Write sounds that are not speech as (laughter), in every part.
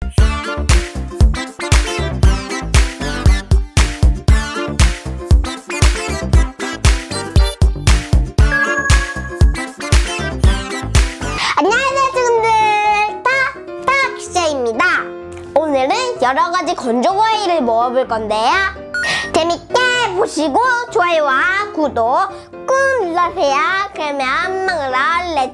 안녕하세요 친구들 팍팍시입니다 오늘은 여러가지 건조과일을 모아볼 건데요 재밌게 보시고 좋아요와 구독 꾹 눌러주세요 그러면 먹으러 렛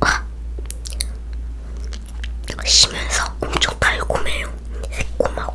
와! 쉬면서 엄청 달콤해요. 새콤하고.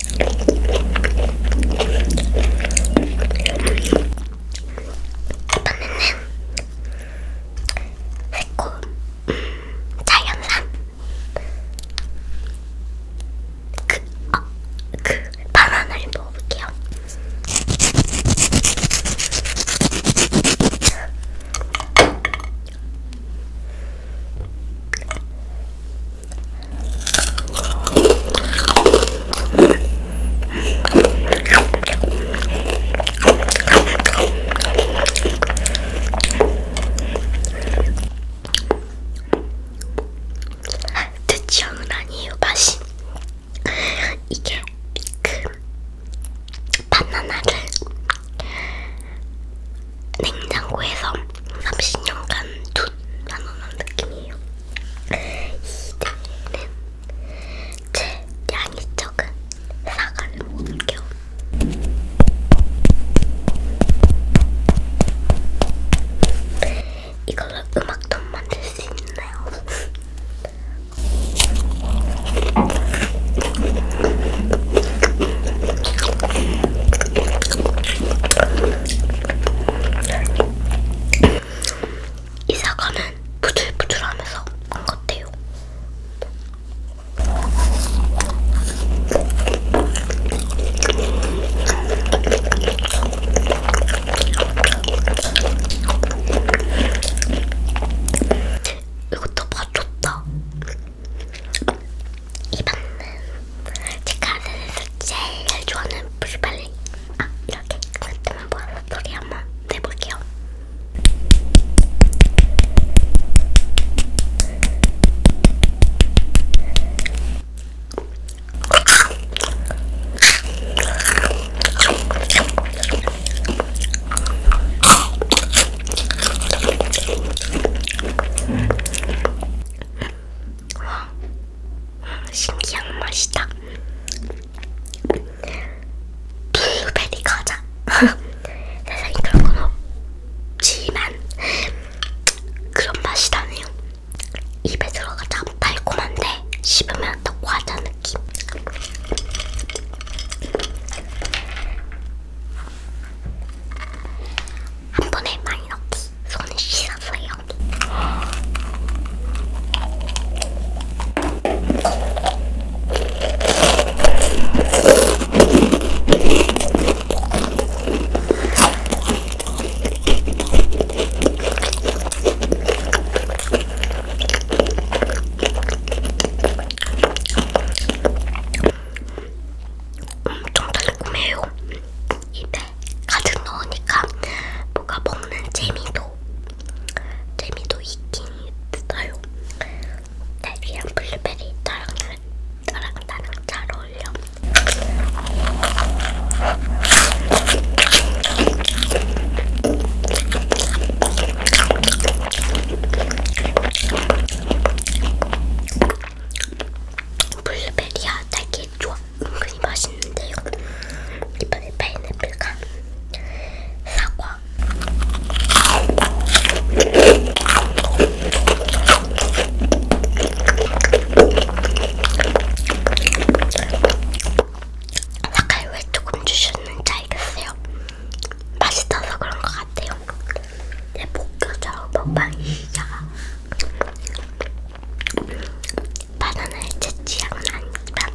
이번에는 새콤 자연산 그, 어, 그 바나나를 먹어볼게요. 제 취향은 아니에요 맛이 이게 미큼 그 바나나를 냉장고에서 30년간 돈 나눠놓은 느낌이에요. 이제는 제 양이 적은 사과를 먹을게요. 이걸로 음악도 만들 수 있나요? 이 사과는 부들부들하면서 안 같아요. 이것도 봐줬다. 이번은 제가 세상에서 제일 잘 좋아하는 브리발리 아 이렇게 그때만 모아서 소리 한번 내볼게요 와, 신기한 맛이다. 블루베리 과자. (laughs) 세상에 그런 건 없지만 그런 맛이 나네요. 입에 들어가자 달콤한데 씹으면 또 과자는 느낌. 한 번에 많이 넣기. 손에 씻어서요. 엄청 달콤해요. 입에 가득 넣으니까 뭐가 먹는 재미도 재미도 있긴 있어요. 딸기랑 블루베리 따랑 따랑 따랑 잘 어울려. 블루베리야 달게 좋아 은근히 맛있는데요 이번에 파인애플과 사과 색깔 왜 조금 주셨는지 알겠어요? 맛있어서 그런 것 같아요. 내 네, 목표자 먹방이 시작. 바나나의 제 취향은 아닙니다.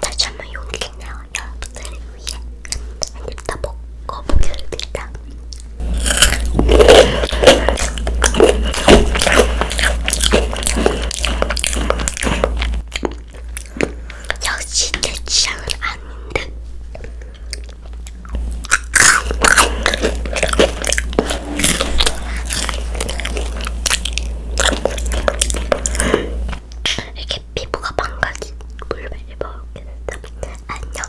다시 한번 용기 내어 여러분들을 위해 한입 더 먹어보겠습니다. 역시 내 취향은 아닌데. 이렇게 피부가 망가진 물매를 먹게 됐다. 안녕.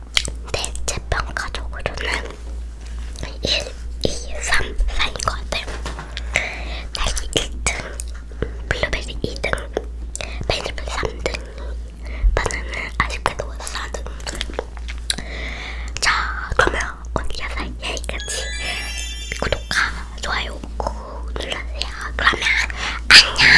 대체평가적으로는 1, 2, 3, 4인 것 같아요. 딸기 1등, 블루베리 2등, 베니블 3등, 바나는 아쉽게도 4등. 자, 그러면 오늘 영상 여기까지 구독과 좋아요 꾹 눌러주세요. 그러면 안녕!